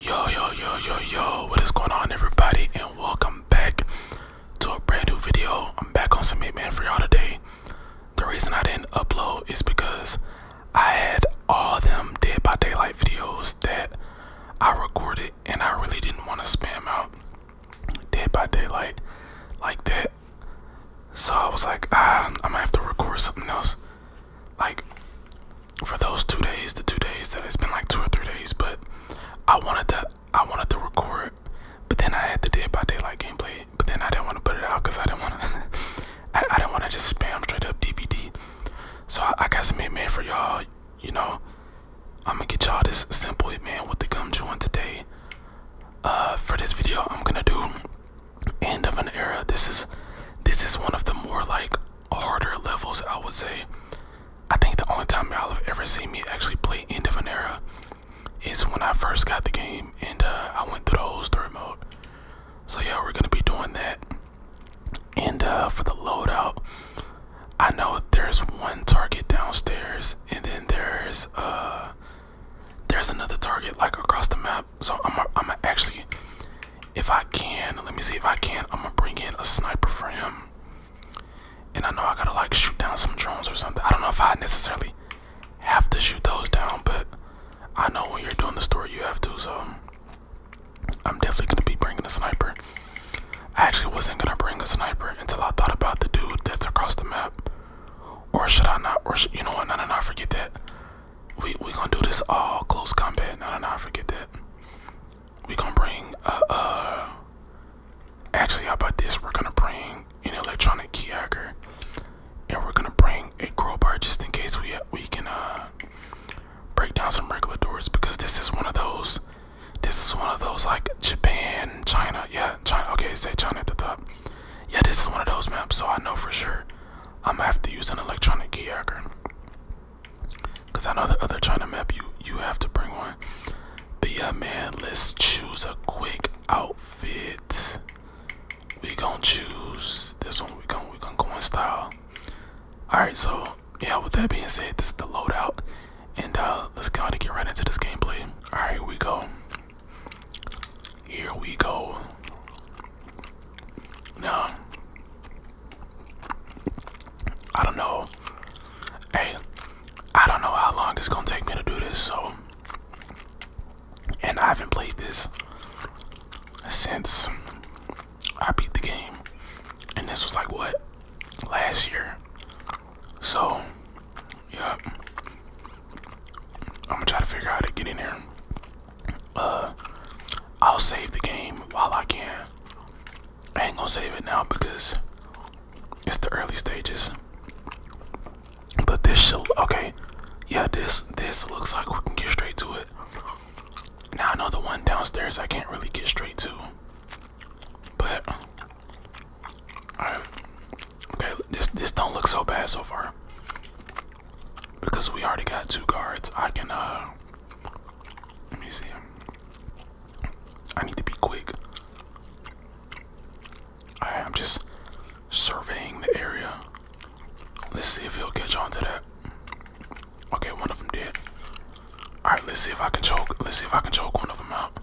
Yo, yo, yo, yo, yo, what is going on, everybody, and welcome back to a brand new video. I'm back on some Hitman for y'all today. The reason I didn't upload is because I had all them Dead by Daylight videos that I recorded, and I really didn't want to spam out Dead by Daylight like that. So I was like, ah, I'm gonna have to record something else like for those two days, the two days that it's been like two or three days, but I wanted to I wanted to record, but then I had the day by daylight gameplay, but then I didn't want to put it out because I didn't want to I, I didn't want to just spam straight up DVD. So I, got some Hitman for y'all, you know. I'm gonna get y'all this simple Hitman with the gum joint today. Uh, for this video, I'm gonna do end of an era. This is this is one of the more like harder levels, I would say. I think the only time y'all have ever seen me actually play End of an Era is when I first got the game and uh, I went through the whole story mode. So yeah, we're gonna be doing that. And uh, for the loadout, I know there's one target downstairs, and then there's uh, there's another target like across the map. So I'm I'm actually if I can, let me see if I can, I'm gonna bring in a sniper for him. And I know I gotta like shoot down some drones or something. I don't know if I necessarily have to shoot those down, but I know when you're doing the story, you have to. So I'm definitely gonna be bringing a sniper. I actually wasn't gonna bring a sniper until I thought about the dude that's across the map. Or should I not? Or you know what? No, no, no. Forget that we we gonna do this all close combat. No, no, no, forget that. We gonna bring uh uh. Actually, how about this? We're gonna bring an electronic key hacker, and we're gonna bring a crowbar just in case we we can uh break down some regular doors because this is one of those. This is one of those like Japan, China, yeah, China. Okay, say China at the top. Yeah, this is one of those maps, so I know for sure I'm gonna have to use an electronic key hacker. Cause I know the other China map you you have to bring one. But yeah man, let's choose a quick outfit. We gonna choose this one, we gonna we gonna go in style. Alright, so yeah, with that being said, this is the loadout. And uh let's kinda get right into this gameplay. Alright, we go. Here we go. No, I don't know. Hey, I don't know how long it's gonna take me to do this, so. And I haven't played this since I beat the game. And this was like what? Last year. So, yep. Yeah. I'm gonna try to figure out how to get in here uh, I'll save the game while I can. I ain't gonna save it now because it's the early stages. But this should okay. Yeah, this this looks like we can get straight to it. Now I know the one downstairs I can't really get straight to. But alright. Okay, this this don't look so bad so far because we already got two guards, I can uh let me see. I need to be quick. I'm just surveying the area. Let's see if he'll catch on to that. Okay, one of them did. Alright, let's see if I can choke. Let's see if I can choke one of them out.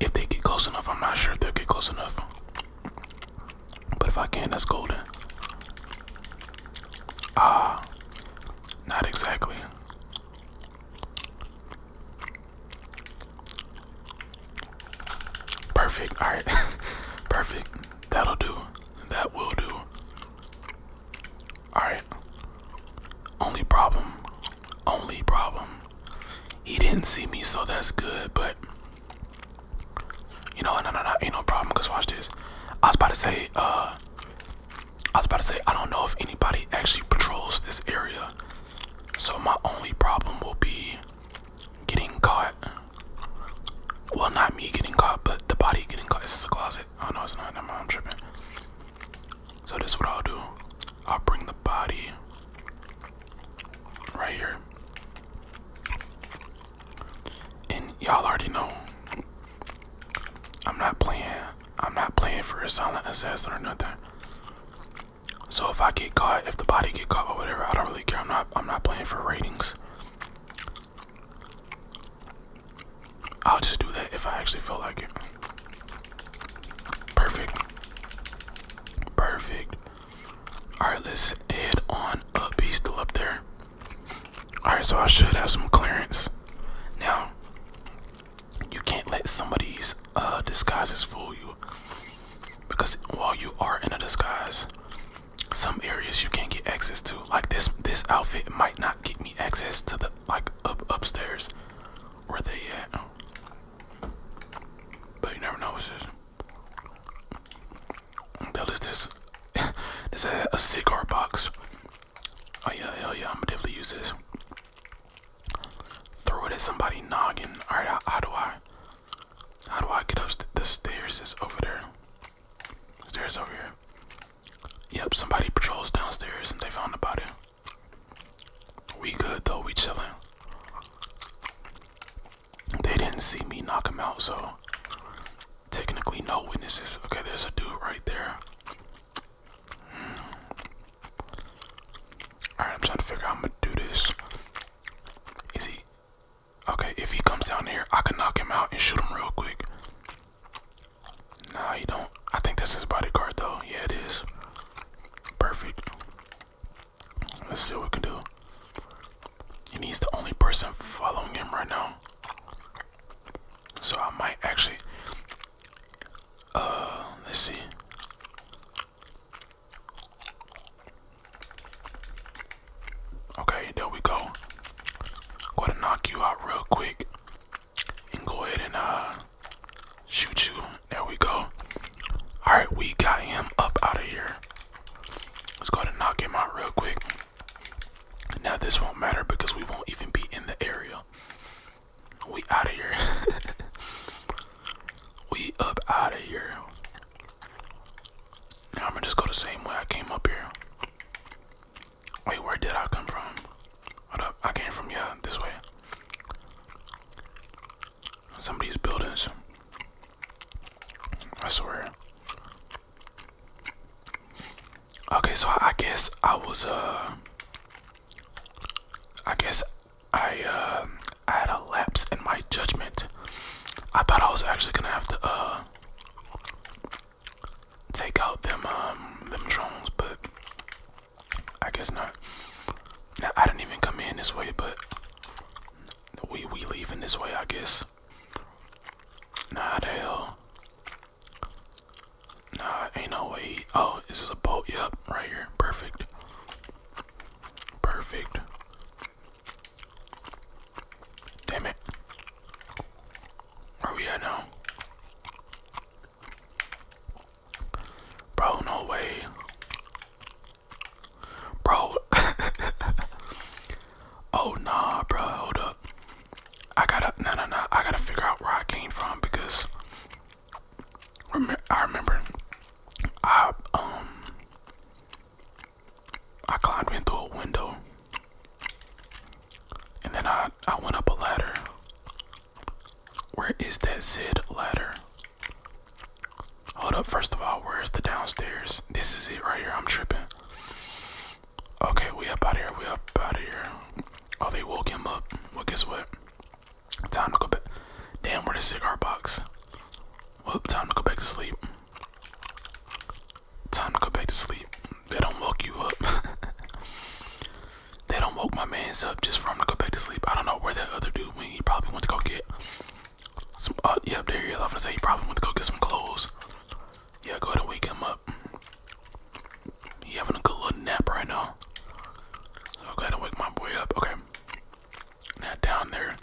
If they get close enough, I'm not sure if they'll get close enough. But if I can, that's golden. Ah, not exactly. Perfect. All right. Perfect. That'll do. That will do. All right. Only problem. Only problem. He didn't see me, so that's good, but you know, no, no, no, ain't no problem. Cause watch this. I was about to say, uh, I was about to say, I don't know if anybody actually patrols this area. So my only problem will be getting caught. Well, not me getting caught, but the body getting caught. Is this a closet? Oh no, it's not. Never mind, I'm tripping. So this is what I'll do. I'll bring the body right here. And y'all already know I'm not playing I'm not playing for a silent assassin or nothing. So if I get caught, if the body get caught or whatever, I don't really care. I'm not I'm not playing for ratings. I'll just do that if I actually feel like it. Perfect. Perfect. Alright, let's head on up. He's still up there. Alright, so I should have some clearance. Now, you can't let some of these disguises fool you. Because while you are in a disguise, some areas you can't get access to. Like this this outfit might not get me access to the like up upstairs where they at. But you never know what is this? this is a, a cigar box. Oh yeah, hell yeah, I'm gonna definitely use this. Throw it at somebody noggin. Alright, how, how, do I how do I get up the stairs is over there? Stairs over here. Yep, somebody patrols downstairs and they found the body. We good though, we chilling they didn't see me knock him out, so technically no witnesses. Okay, there's a dude right there. Hmm. Alright, I'm trying to figure out I'm gonna do this. Is he okay? If he comes down here, I can knock him out and shoot him real quick. Nah, he don't. I think that's his bodyguard though. Yeah, it is. Perfect. Let's see what we can do. And he's the only person following him right now. So I might actually. Uh, let's see. Okay, there we go. going to knock you out real quick, and go ahead and uh shoot you. There we go. All right, we got him up out of here. Let's go ahead knock him out real quick. Now this won't matter because we won't even be in the area. We out of here. we up out of here. Now I'm gonna just go the same way I came up here. Wait, where did I come from? Hold up, I came from yeah, this way. Some of these buildings. I swear. Okay, so I guess I was uh I guess I uh I had a lapse in my judgment. I thought I was actually gonna have to uh take out them um them drones, but I guess not. Now I didn't even come in this way, but we we leaving this way, I guess this. Nah, the hell. Nah, ain't no way. Oh, is a boat? Yep, right here. Perfect. Perfect. Damn it. Where we at now? Bro, no way. Bro. oh nah, bro. Hold up. I gotta no no no. I gotta figure out where I came from because I remember I um I climbed in through a window and then I I went up a ladder. Where is that said ladder? Hold up, first of all, where's the downstairs? This is it right here. I'm tripping. Okay, we up out here. We up out of here. Oh, they woke him up. Well, guess what? Time to go back. Damn, where the cigar box? Well, time to go back to sleep. Time to go back to sleep. They don't woke you up. they don't woke my man's up just for him to go back to sleep. I don't know where that other dude went. He probably went to go get some, uh, yep, there I was gonna say he probably went to go get some clothes. Yeah, go ahead and wake him up. He having a good little nap right now. So go ahead and wake my boy up. Okay. Now down there.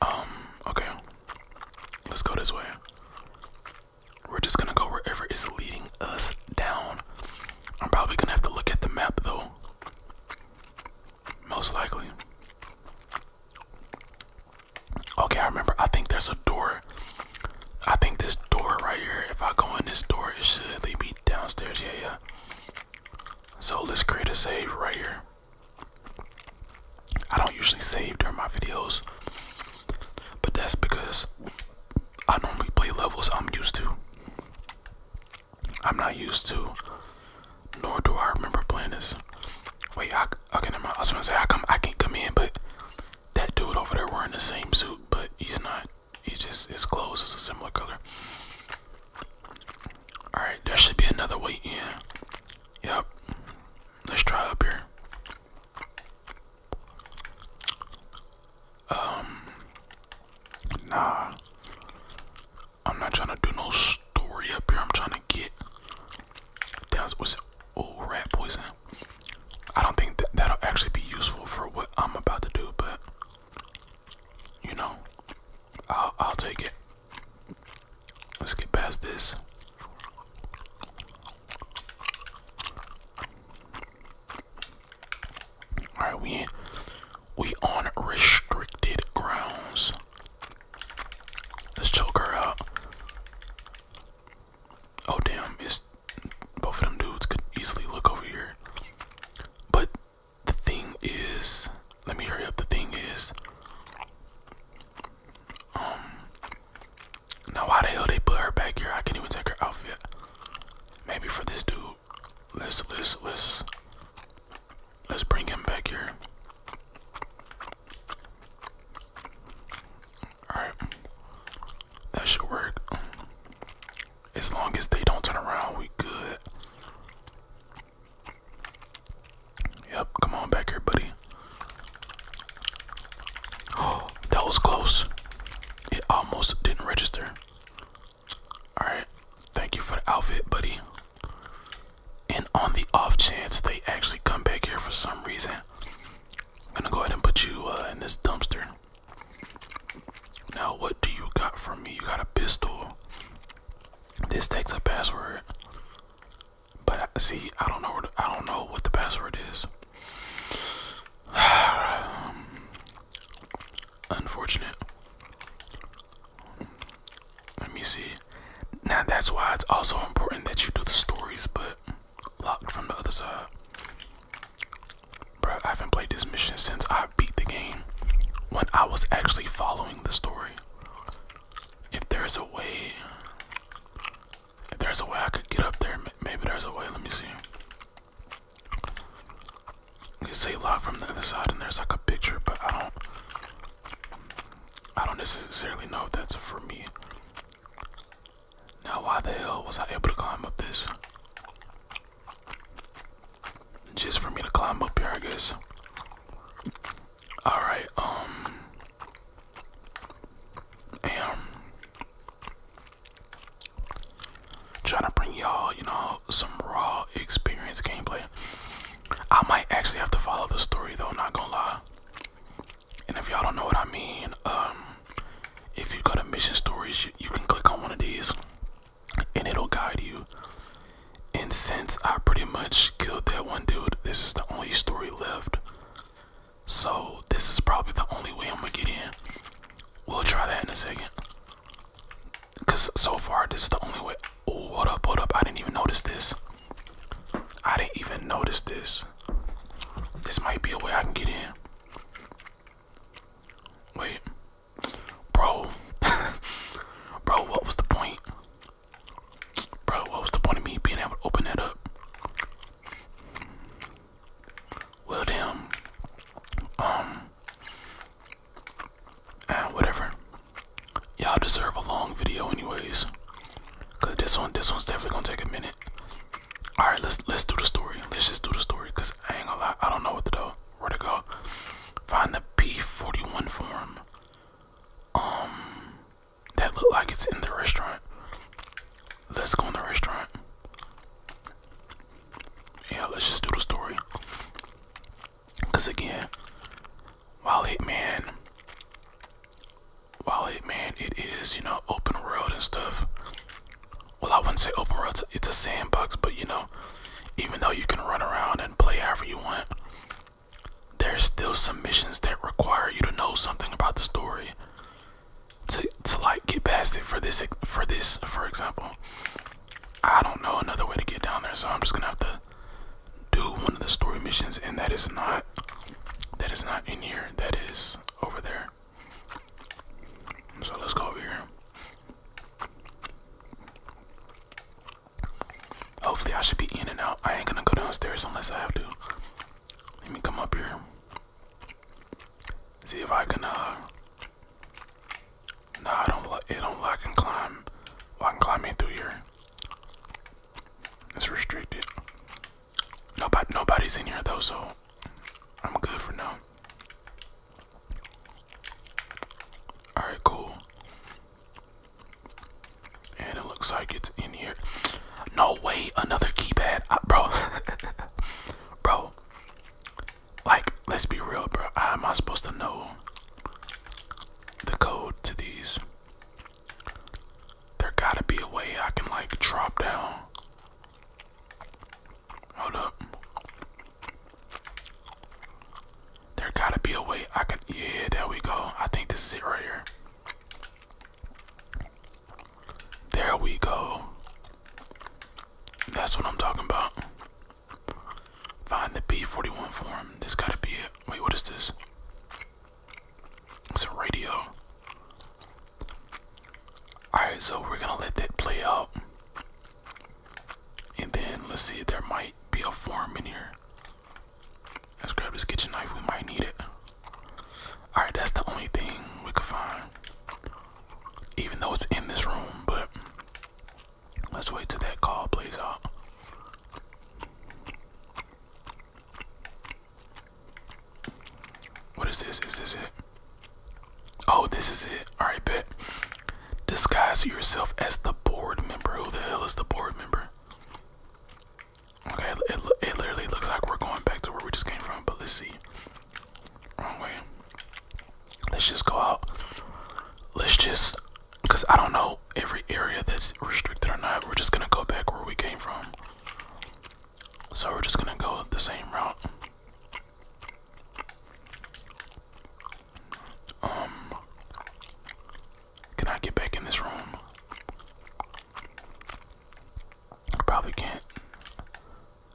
Um, okay. Let's go this way. We're just gonna go wherever is leading us down. I'm probably gonna have to look at the map though. Most likely. Okay, I remember. I think there's a door. I think this door right here, if I go in this door, it should lead me downstairs. Yeah, yeah. So let's create a save right here. I don't usually save during my videos, but that's because I normally play levels I'm used to. I'm not used to, nor do I remember playing this. Wait, I, okay, never mind. I was gonna say I come, I can not come in, but that dude over there wearing the same suit, but he's not. He's just his clothes is a similar color. All right, there should be another way in. Yep. Let's try up here. Um, Nah. I'm not trying to do no story up here. I'm trying to get. Down was old rat poison. I don't think that that'll actually be useful for what I'm about to do, but you know, I'll I'll take it. Let's get past this. All right, we we on restricted grounds. Let's choke her out. Oh damn, it's both of them dudes could easily look over here. But the thing is, let me hurry up. The thing is, um, now why the hell they put her back here? I can't even take her outfit. Maybe for this dude let's let's let's let's bring him back here. Alright. That should work. As long as they don't turn around, we good. Yep, come on back here, buddy. Oh, that was close. It almost didn't register. Alright, thank you for the outfit, buddy. And on the off chance they actually come back here for some reason, I'm gonna go ahead and put you uh, in this dumpster. Now, what do you got from me? You got a pistol. This takes a password, but see, I don't know. I don't know what the password is. um, unfortunate. Let me see. Now that's why it's also important that you do the stories, but locked from the other side. Bro, I haven't played this mission since I beat the game when I was actually following the story. If there's a way, if there's a way I could get up there, maybe there's a way. Let me see. You say lot from the other side, and there's like a picture, but I don't. I don't necessarily know if that's for me. Now, why the hell was I able to climb up this? Just for me to climb up here, I guess. All right. Um. Damn trying to bring y'all, you know, some raw experience gameplay. I might actually have to follow the story though, not gonna lie. And if y'all don't know what I mean, um, if you go to mission stories, you can click on one of these and it'll guide you. And since I pretty much killed that one dude, this is the only story left. So this is probably the only way I'm gonna get in. We'll try that in a second. Cause so far this is the only way. Oh, what I pulled up! I didn't even notice this. I didn't even notice this. This might be a way I can get in. Wait, bro, bro, what was the point? Bro, what was the point of me being able to open that up? Well, damn. Um, Ah, whatever. Y'all deserve a long video, anyways. Cause this one, this one's definitely gonna take a minute. All right, let's let's do the story. Let's just do the story, cause I ain't gonna I don't know what to do. Where to go? Find the P41 form. Um, that look like it's in the restaurant. Let's go in the restaurant. Yeah, let's just do the story. Cause again, while Hitman, while Hitman, it is you know open world and stuff. Well, I wouldn't say open world; it's a sandbox. But you know, even though you can run around and play however you want, there's still some missions that require you to know something about the story to to like get past it. For this, for this, for example, I don't know another way to get down there, so I'm just gonna have to do one of the story missions, and that is not that is not in here. That is over there. So let's go over here. Hopefully, I should be in and out. I ain't gonna go downstairs unless I have to. Let me come up here. See if I can uh no, I don't. It don't I and climb. Well, I can climb in through here. It's restricted. Nobody, nobody's in here though, so I'm good for now. All right, cool. And it looks like it's in here. No way, another keypad, bro. bro, like, let's be real, bro. How am I supposed to know the code to these? There gotta be a way I can, like, drop down. Hold up. There gotta be a way I can. Yeah, there we go. I think this is it right here. There we go. That's what I'm talking about. Find the B41 form. This gotta be it. Wait, what is this? It's a radio. Alright, so we're gonna let that play out. And then let's see, there might be a form in here. Let's grab this kitchen knife, we might need it. Alright, that's the only thing we could find. Even though it's in this room, but Let's wait till that call plays out. What is this? Is this it? Oh, this is it. Alright, bet. Disguise yourself as the board member. Who the hell is the board member? Okay, it, it, it literally looks like we're going back to where we just came from, but let's see. Wrong way. Let's just go out. Let's just, cause I don't know every area that's restricted or not. We're just gonna go back where we came from. So we're just gonna go the same route. Um, can I get back in this room? I probably can't.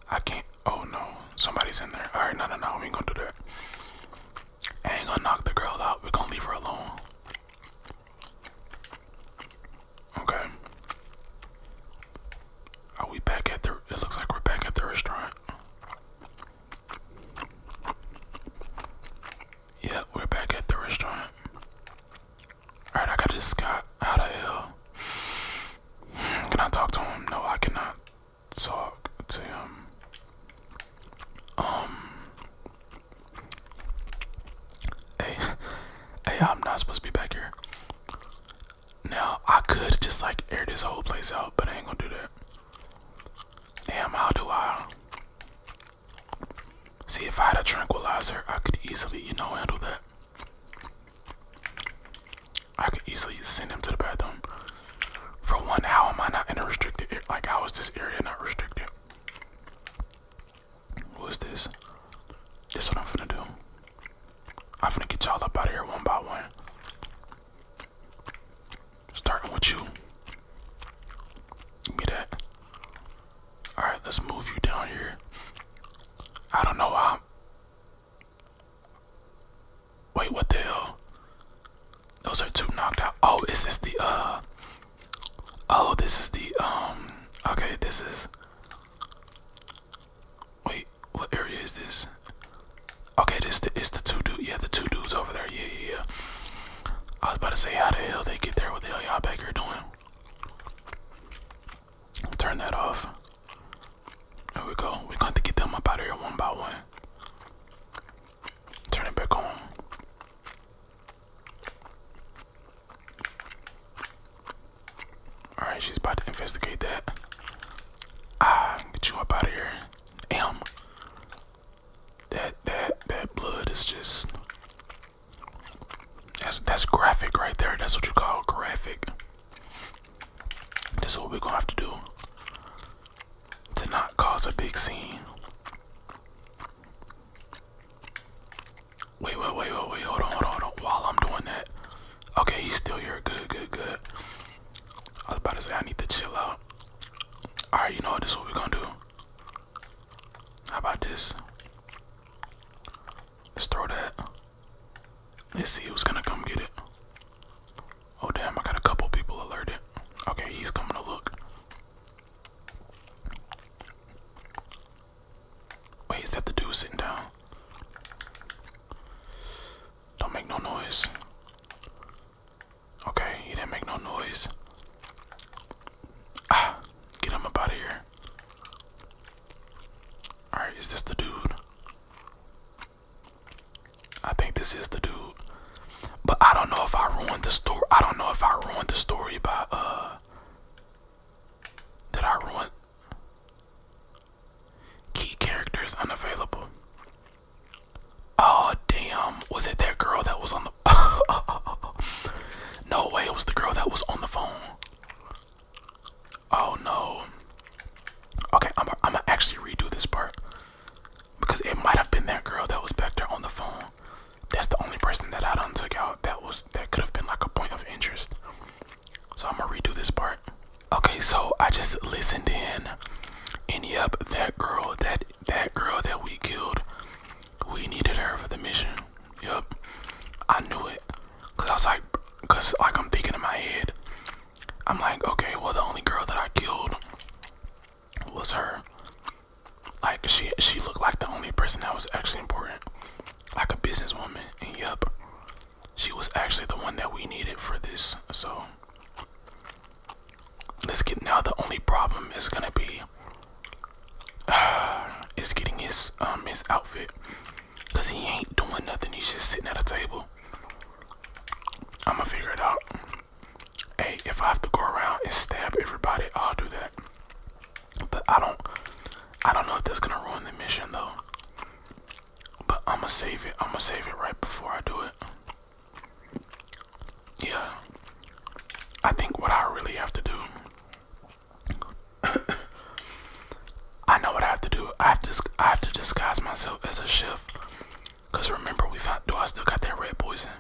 I can't. Oh no, somebody's in there. All right, no, no, no, we ain't gonna do that. ain't gonna knock the girl out. We're gonna leave her alone. Okay. Are we back at the? It looks like we're back at the restaurant. Yeah, we're back at the restaurant. All right, I got this guy out of hell. Can I talk to him? No, I cannot talk to him. Um, hey, hey, I'm not supposed to be back here. Now I could just like air this whole place out, but I ain't gonna do that. Damn, how do I? See, if I had a tranquilizer, I could easily, you know, handle that. I could easily send him to the bathroom. For one, how am I not in a restricted area? Like, how is this area not restricted? What is this? This is what I'm finna do. I'm finna get y'all up out of here one by one. Starting with you. Give me that. Alright, let's move you down here. I don't know how. Wait, what the hell? Those are two knocked out. Oh, is this the uh Oh, this is the um okay, this is Wait, what area is this? Okay, this the it's the two dude yeah, the two dudes over there, yeah yeah yeah. I was about to say how the hell they get there, what the hell y'all back here doing? Turn that off. There we go. we got to to get them up out of here one by one. Turn it back on. Alright, she's about to investigate that. Ah, get you up out of here. Damn. That that that blood is just that's that's graphic right there. That's what you call graphic. This is what we're gonna have to do to not cause a big scene. Wait, wait, wait, wait, wait, hold on, hold on, hold on. While I'm doing that, okay, he's still here. Good, good, good. I was about to say I need to chill out. All right, you know what? This is what we're gonna do. How about this? Let's throw that. Let's see who's gonna come get it. Oh damn, I got a couple people alerted. Okay, he's coming to look. Wait, is that the dude sitting down? Don't make no noise. Okay, he didn't make no noise. Ah, get him up out of here. Alright, is this the dude? I think this is the dude. But I don't know if I ruined the story. I don't know if I ruined the story by uh did I ruin key characters unavailable? Oh damn. Was it that girl that was on the No way, it was the girl that was on the phone. Oh no. Okay, I'm gonna actually redo this part because it might have been that girl that was back there on the phone. That's the only person that I done took out. That was that could have been like a point of interest. So I'm gonna redo this part. Okay, so I just listened in, and yep, that girl, that that girl that we killed, we needed her for the mission. Yep, I knew it. Cause I was like, cause like I'm thinking in my head, I'm like, okay, well the only girl that I killed was her. Like she she looked like the only person that was actually important, like a businesswoman. And yep, she was actually the one that we needed for this. So let's get now. The only problem is gonna be uh, is getting his um his outfit. Cause he ain't doing nothing. He's just sitting at a table. I'ma figure it out. Hey, if I have to go around and stab everybody, I'll do that. But I don't I don't know if that's gonna ruin the mission though. But I'ma save it. I'ma save it right before I do it. Yeah. I think what I really have to do I know what I have to do. I have to I have to disguise myself as a chef. Cause remember we found do I still got that red poison?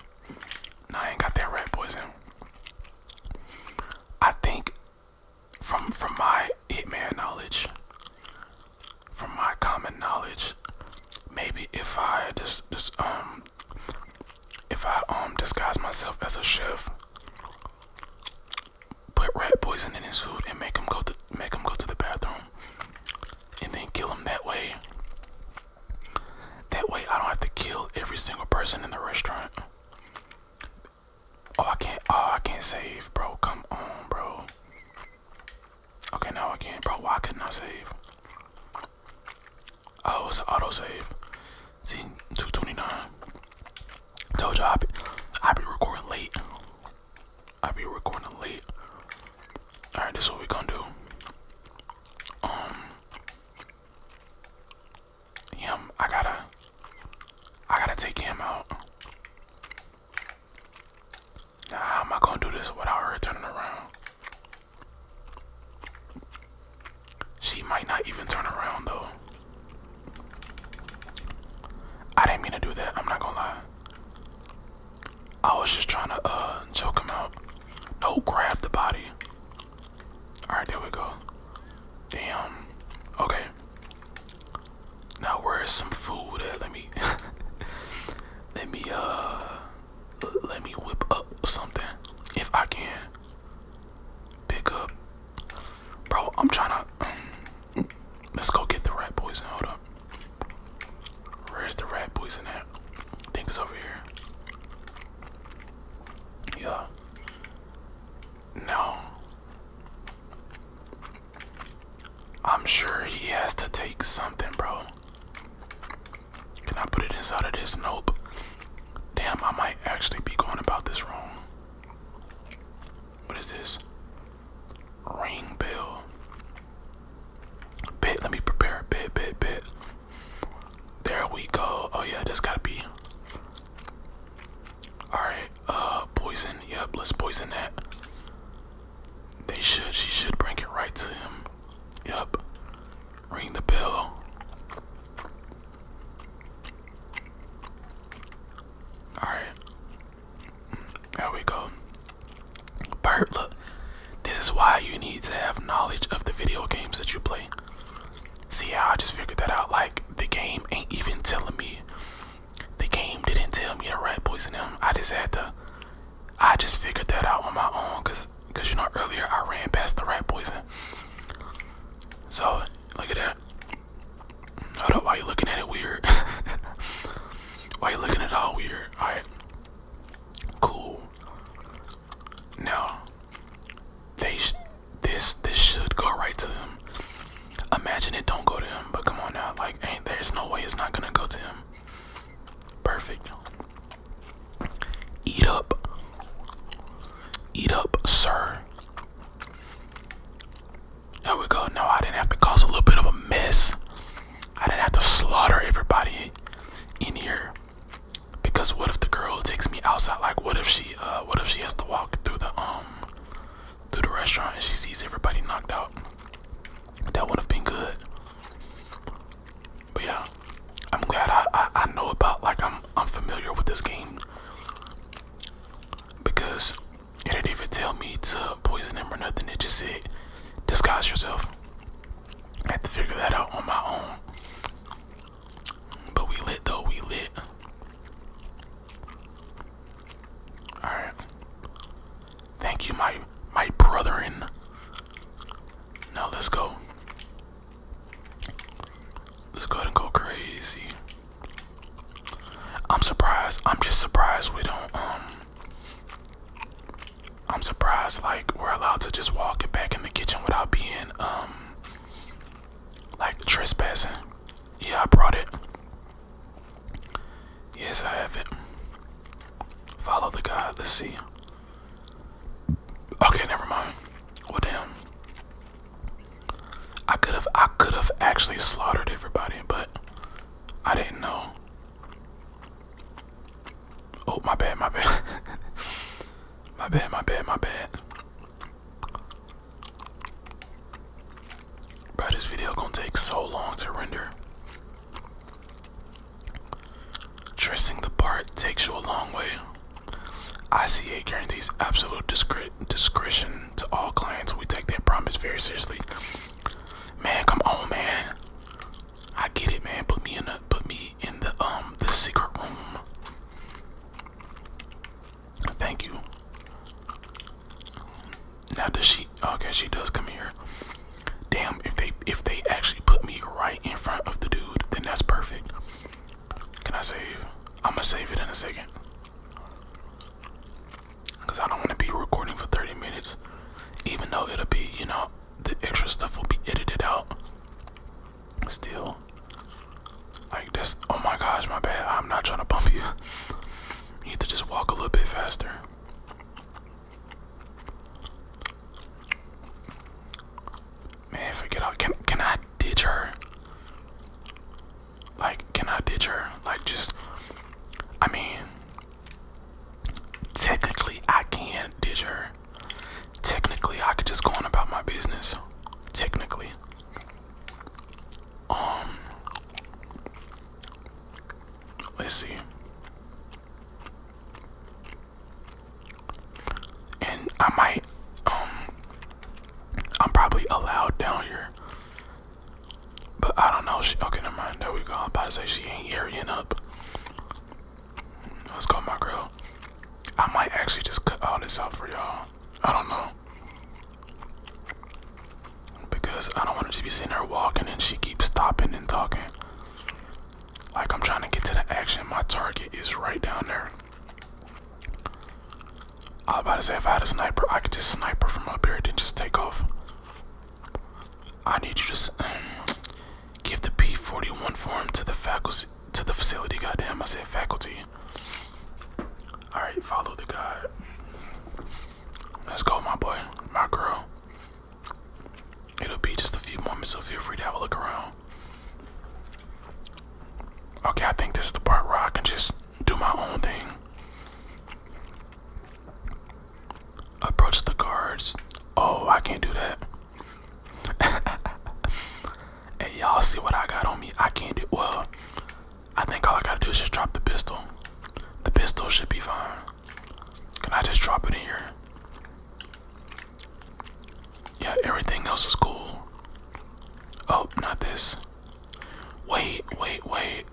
No, I ain't got that red poison. I think from from my hitman knowledge, from my common knowledge, maybe if I just just um if I um disguise myself as a chef put rat poison in his food and make him go to make him go to the bathroom and then kill him that way. That way I don't have to kill every single person in the restaurant. Oh I can't oh I can't save bro come on bro Okay now I can't bro why couldn't I save? Oh it's an auto save. See 229 Told y'all I be, be recording late. I be recording late. Alright, this is what we gonna do. Um him, I gotta I gotta take him out. how am I gonna do this without her turning around? She might not even turn around though. I didn't mean to do that. I'm not gonna lie. I was just trying to uh choke him out. No, grab the body. All right, there we go. Damn. Okay. Now where is some food Let me. let me uh. Let me whip up something if I can. Pick up, bro. I'm trying to. Let's go get the rat poison. Hold up. Where's the rat poison at? I think it's over here. Yeah. No. I'm sure he has to take something, bro. Can I put it inside of this? Nope. Damn, I might actually be going about this wrong. What is this? Ring bell. Bit, let me prepare a bit, bit, bit. There we go. Oh yeah, that's gotta be. Alright, uh poison. Yep, let's poison that. They should, she should bring it right to him. Yep. Ring the bell. Alright. There we go. Bert, look. This is why you need to have knowledge of the video games that you play. See how I just figured that out? Like, the game ain't even telling me. The game didn't tell me the rat poison him. I just had to. I just figured that out on my own. Because, cause, you know, earlier I ran past the rat poison. So, look at that that? Hold up, why you looking at it weird? why you looking at all weird? Alright. Cool. Now, they this this should go right to him. Imagine it don't go to him, but come on now, like ain't there's no way it's not gonna go to him. Perfect. Eat up. Eat up, sir. There we go. No, I didn't have to cause a little bit of a mess. I didn't have to slaughter everybody in here. Because what if the girl takes me outside? Like what if she uh, what if she has to walk through the um through the restaurant and she sees everybody knocked out? That would have been good. But yeah, I'm glad I I know about like I'm I'm familiar with this game because it didn't even tell me to poison him or nothing. It just said, disguise yourself. I had to figure that out on my own. But we lit though, we lit. Alright. Thank you, my my brother. brethren. Now let's go. Let's go and go crazy. I'm surprised. I'm just surprised we don't um I'm surprised like we're allowed to just walk it back in the kitchen without being um like trespassing. Yeah, I brought it. Yes, I have it. Follow the guy. Let's see. Okay, never mind. Well, damn. I could have I could have actually slaughtered everybody, but I didn't know. Oh my bad, my bad. my bad, my bad, my bad. Bro, this video gonna take so long to render. Tracing the part takes you a long way. ICA guarantees absolute discretion to all clients. We take that promise very seriously. Man, come on, man. I get it, man. Put me in the put me in the um the secret room. Thank you. Now does she? Okay, she does come here. Damn, if they if they actually put me right in front of the dude, then that's perfect. Can I save? I'ma save it in a second. Because I don't want to be recording for 30 minutes, even though it'll be, you know, the extra stuff will be edited out. Still, like this. Oh my gosh, my bad. I'm not trying to bump you. You need to just walk a little bit faster. Man, forget all. Can can I ditch her? Like, can I ditch her? Like, just, I mean, technically, I can ditch her. Technically, I could just go on about my business. Technically. Um, let's see. And I might, um, I'm probably allowed down here. But I don't know. She, okay, never mind. There we go. I'm about to say she ain't airing up. Let's go, my girl. I might actually just cut all this out for y'all. I don't know. Because I don't want her to be sitting there walking and she keeps stopping and talking. Like I'm trying to get to the action. My target is right down there. I am about to say if I had a sniper, I could just sniper from up here and then just take off. I need you to um, give the P41 form to the faculty to the facility. Goddamn, I said faculty. All right, follow the guide. Let's go, my boy, my girl. It'll be just a few moments, so feel free to have a look around. Okay, I think this is the part where I can just do my own thing. Approach the guards. Oh, I can't do that. hey, y'all see what I got on me? I can't do well. I think all I gotta do is just drop the pistol. The pistol should be fine. Can I just drop it in here? Yeah, everything else is cool. Oh, not this. Wait, wait, wait.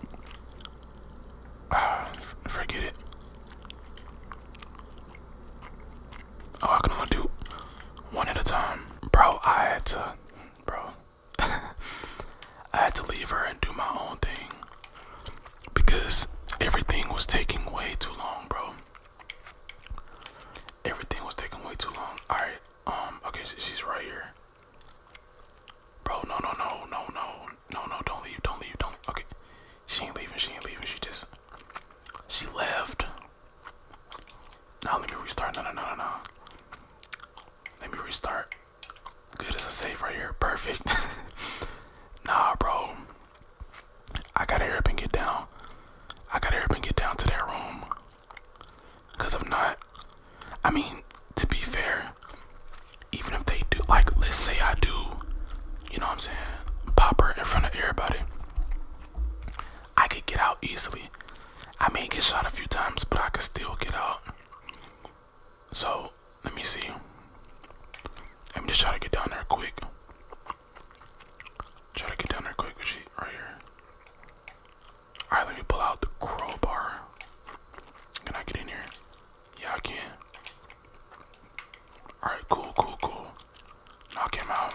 Ah, forget it. Oh, I can only do one at a time. Bro, I had to, bro. I had to leave her and do my own thing because everything was taking way too long, bro. Everything was taking way too long. All right, um, okay, so she's right here. Bro, no, no, no, no, no, no, no, don't leave, don't leave, don't, okay. She ain't leaving, she ain't leaving, she just, she left. Now let me restart, no, no, no, no, no. Let me restart. Good as a save right here, perfect. nah, bro. I gotta hurry up and get down. I gotta hurry up and get down to that room. Because if not, I mean, to be fair, even if they do, like, let's say I do, you know what I'm saying, pop her in front of everybody, I could get out easily. I may get shot a few times, but I could still get out. So, let me see. Let me just try to get down there quick. Try to get down there quick, but she right here. Alright, let pull out the crowbar. Can I get in here? Yeah, I can. Alright, cool, cool, cool. Knock him out.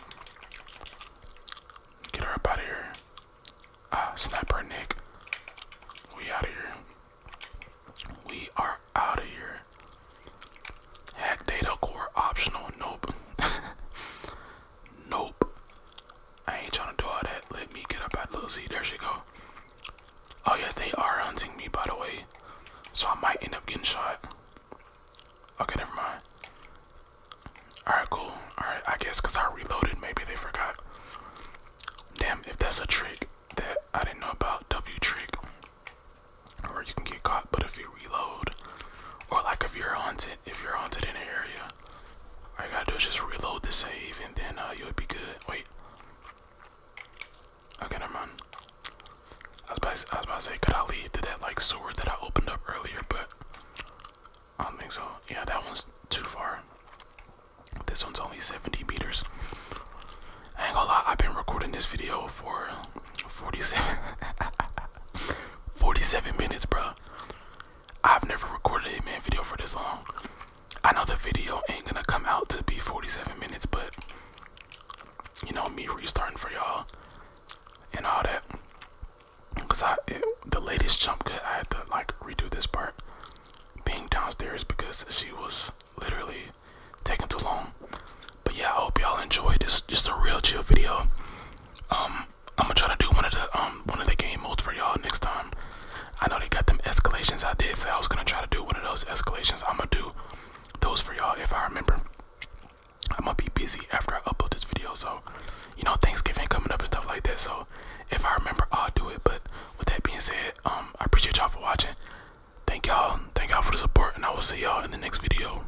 Get her up out of here. Ah, snap her neck. We out of here. We are out of here. Hack data core optional. Nope. Nope. I ain't trying to do all that. Let me get up at little There she go. Oh yeah, they are hunting me by the way. So I might end up getting shot. Okay, never mind. Alright, cool. Alright, I guess because I reloaded, maybe they forgot. Damn, if that's a trick that I didn't know about, W trick. Or you can get caught, but if you reload, or like if you're hunted if you're haunted in an area, all you gotta do is just reload the save, and then uh, you'll be good. Wait. I was, about to, I was about to say, could I leave to that like sword that I opened up earlier, but I don't think so. Yeah, that one's too far. This one's only 70 meters. ain't gonna lie, I've been recording this video for 47 minutes, bro. I've never recorded a man video for this long. I know the video ain't gonna come out to be 47 minutes, but you know me restarting for y'all and all that. Cause I the latest jump cut, I had to like redo this part being downstairs because she was literally taking too long. But yeah, I hope y'all enjoyed this. Just a real chill video. Um, I'm gonna try to do one of the um one of the game modes for y'all next time. I know they got them escalations. I did say I was gonna try to do one of those escalations. I'm gonna do those for y'all if I remember. I'm gonna be busy after I upload this video, so you know Thanksgiving coming up and stuff like that. So if I remember, I'll do it. But with that being said, um, I appreciate y'all for watching. Thank y'all, thank y'all for the support, and I will see y'all in the next video.